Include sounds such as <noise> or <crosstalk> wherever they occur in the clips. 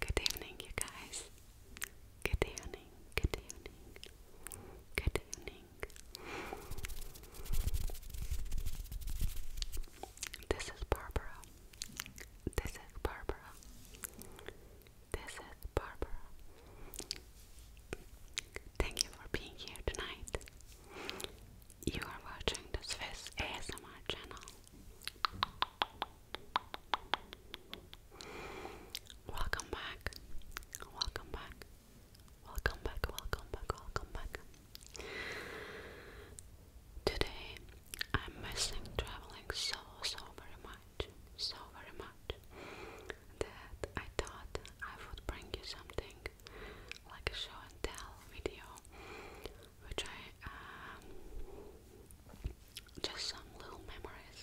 Good evening, you guys. Good evening, good evening, good evening. This is Barbara. This is Barbara. This is Barbara. Thank you for being here tonight. You are watching the Swiss ASMR channel. Welcome back. Welcome back. Welcome back. Welcome back. Welcome back. Today I'm missing traveling so so very much so very much, that I thought I would bring you something like a show and tell video, which I um, just some little memories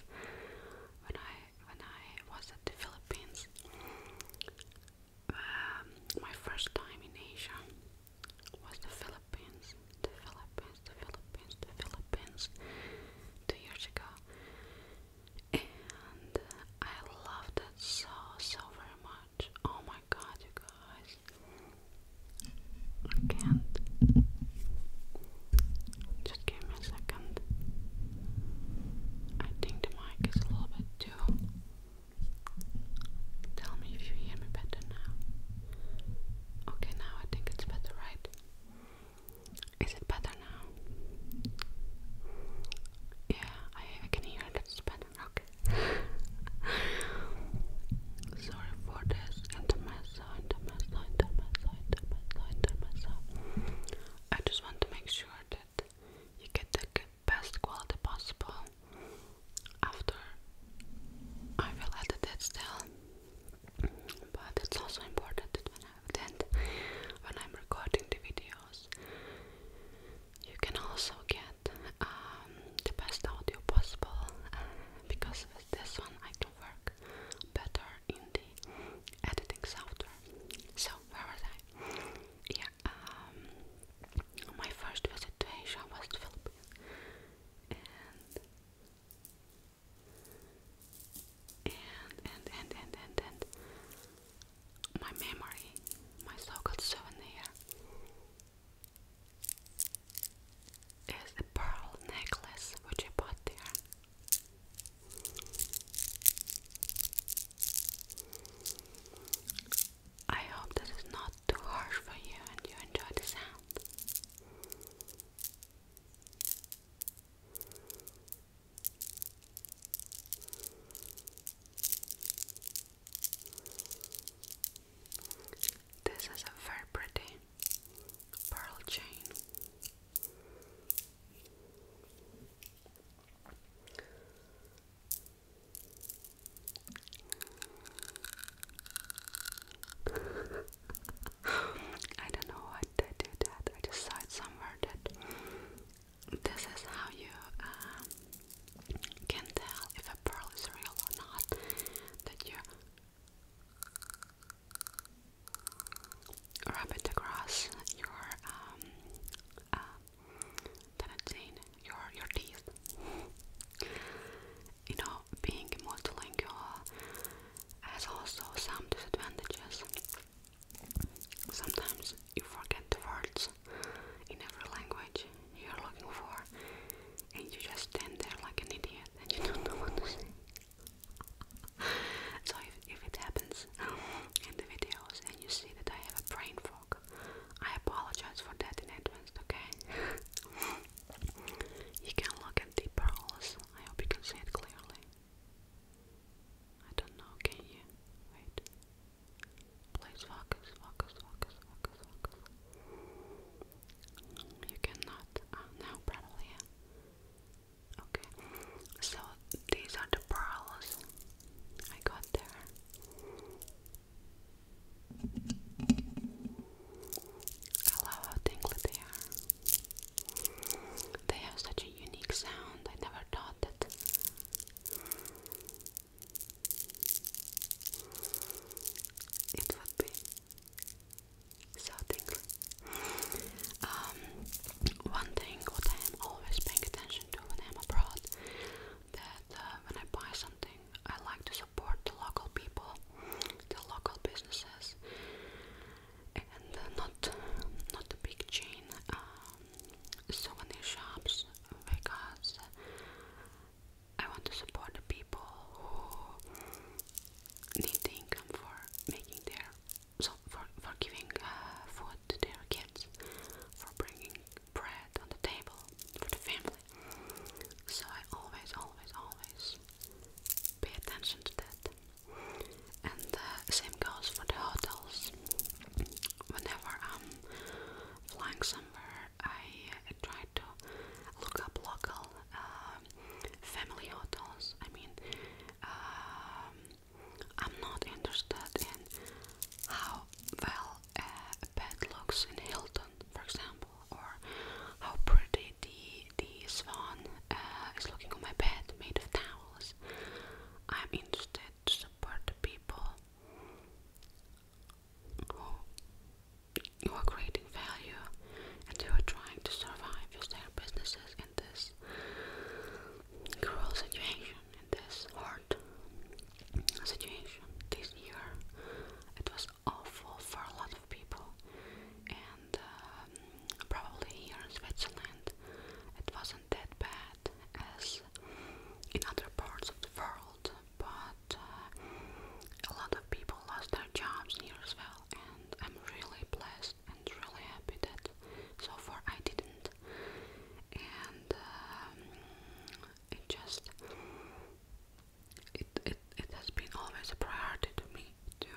when I when I was at the Philippines, um, my first time in Asia was the Philippines, the Philippines, the Philippines, the Philippines, two years ago, and I love that so so very much. Oh my god, you guys. I can't. Just give me a second. I think the mic is a little bit too. Tell me if you hear me better now. Okay, now I think it's better, right? Is it better now? Yeah, I, can hear that it's better. Okay. <laughs> Sorry for this I just want to make sure that you get the best quality possible. After I will edit it still, but it's also important when, I, that when I'm recording the videos, you can also get um, the best audio possible uh, because with this one I can work better in the editing software. So, where was I? Yeah, um, my first visit to Asia was the Philippines, and and and and and and my memory, my so-called souvenir is the pearl necklace which I bought there. I hope this is not too harsh for you and you enjoy the sound. This is a very pretty pearl chain. I don't know why they do I just saw it somewhere that this is how you um, can tell if a pearl is real or not. That you rub it across your um uh, your your teeth you know, being multilingual has also some disadvantages. Sometimes you forget the words in every language you're looking for, and you just stand there like an idiot and you <laughs> don't know what to say. <laughs> so, if, if it happens um, in the videos and you see that I have a brain fog, I apologize for that in advance, okay? <laughs> you can look at the pearls I hope you can see it clearly. I don't know, can you? Wait. Please focus, focus, focus, focus, focus. You cannot. Uh, now, probably, yeah. Okay. So, these are the pearls I got there. I love how tingly they are. They have such a unique sound, I never thought that. It would be so tingly. Um, one thing what I am always paying attention to when I'm abroad, that uh, when I buy something, I like to support the local people, the local businesses, and uh, not not the big chain um, souvenir shops because I want to support the people who need the income for making their so for for giving uh, food to their kids, for bringing bread on the table for the family. So I always, always, always pay attention to that. And the same goes for the hotels. Whenever I'm flying somewhere, I try to look up local um, family hotels. I mean, um, I'm not interested in how well a bed looks in Hilton, for example or how pretty the the swan uh, is looking on my bed made of towels. I'm interested to support the people who are creating value and who are trying to survive with their businesses in this cruel situation, in this hard situation. This year it was was awful for a lot of people, and um, probably here in Switzerland it wasn't that bad as in other parts of the world, but uh, a lot of people lost their jobs here as well, and I'm really blessed and really happy that so far I didn't, and um, it just it, it it has been always a priority to me to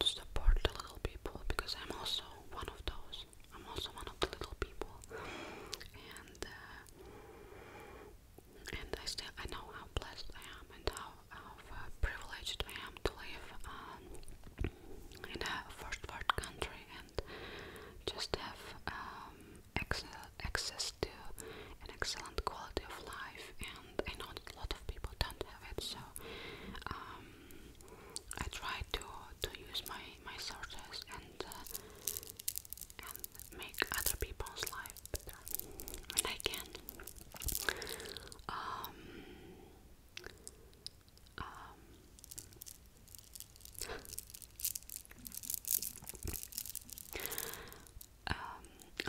to support the little people because I'm also one of those. I'm also one of the little people, and uh, and I still I know how blessed I am and how, how uh, privileged I am to live um, in a first world country and just have um, excellent access to an excellent quality of life, and I know a lot of people don't have it, so um, I try to to use my my sources and uh, and make other people's life better when I can. Um, um um,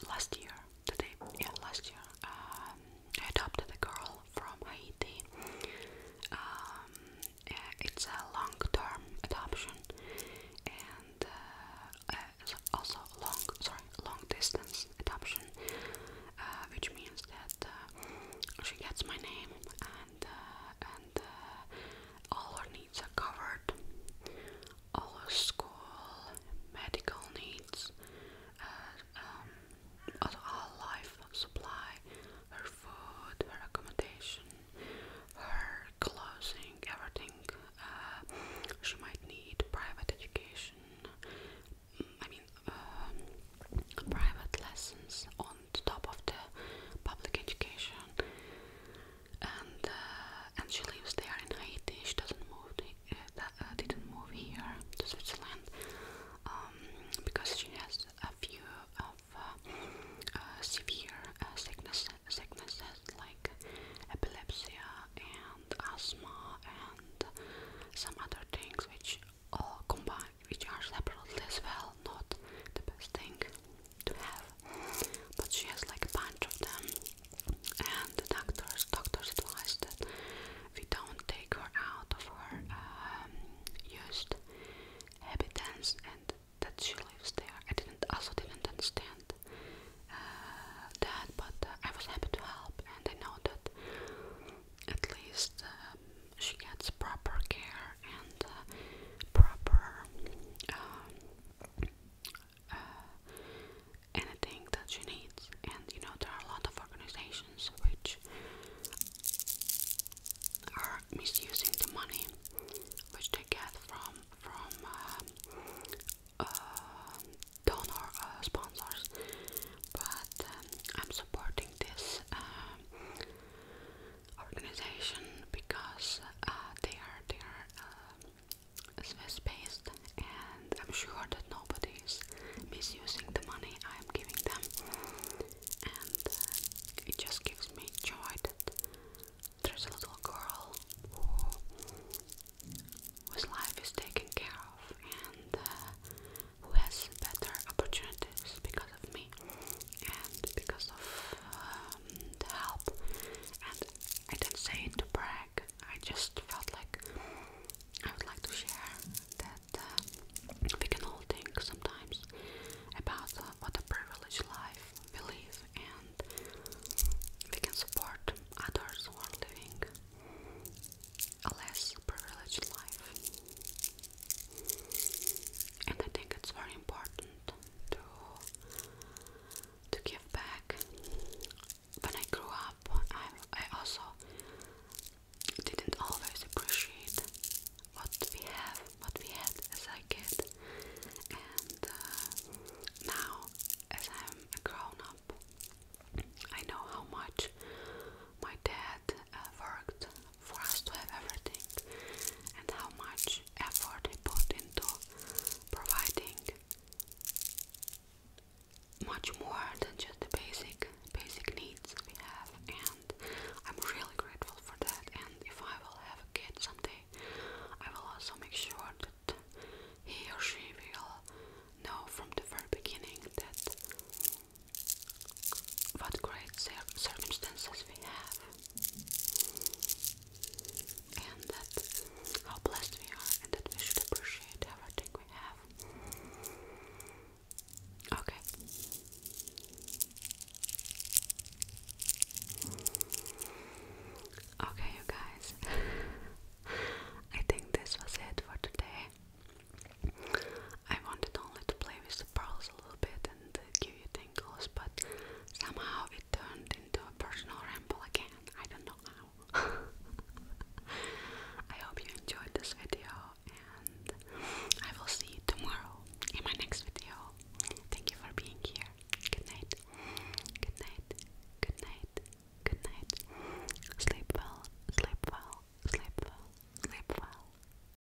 last year, today, yeah, last year, um, I adopted a girl from Haiti. Um, it's a long-term adoption, and uh, uh, also long, sorry, long-distance adoption, uh, which means that uh, she gets my name and uh, all her needs are covered all school, medical needs, uh, um, life supply, her food, her accommodation, her clothing, everything uh, she might need, private education, mm, I mean uh, private lessons on top of the public education and uh, and she lives there in Haiti. She doesn't move, to, uh, uh, didn't move here to Switzerland um, because she has a few of severe uh, sicknesses like epilepsy and asthma and some other things which all combine, which are separately as well, not the best thing to have, but she has like a bunch of them. And the doctors, doctors advised that we don't take her out of her um, used habitants and that she lives there. I didn't also didn't understand uh, that, but uh, I was happy to help, and I know that at least um, she gets proper care and uh, proper um, uh, anything that you need. And you know, there are a lot of organizations which are misusing the money which they get from from uh, uh, donor uh, sponsors. But um, I'm supporting this organization because uh, they are they are uh, Swiss based, and I'm sure that nobody is misusing the money I am giving them, and uh, it just gives me joy that there's a little girl who, whose life is taken care of and uh, who has better opportunities because me, and because of um, help. And I didn't say to brag. I just felt like I would like to share that uh, we can all think sometimes about uh, what a privileged life we live, and we can support others who are living a less privileged life. And I think it's very important to to give back. When I grew up, I I also didn't always appreciate what we have, what we had as a kid, and uh, now as I'm a grown up, I know how much my dad uh, worked for us to have everything and how much effort he put into providing much more than just the basic basic needs we have and I'm really grateful for that and if I will have a kid someday I will also make sure that he or she will know from the very beginning that what great circumstances we have and that how blessed we are and that we should appreciate everything we have. Okay. Okay, you guys. <laughs> I think this was it for today. I wanted only to play with the pearls a little bit and uh, give you tingles, but somehow it turned into a personal ramble again. I don't know how. <laughs> I hope you enjoyed this video, and I will see you tomorrow in my next video. Thank you for being here. Good night. Good night. Good night. Good night. Sleep well. Sleep well. Sleep well. Sleep well.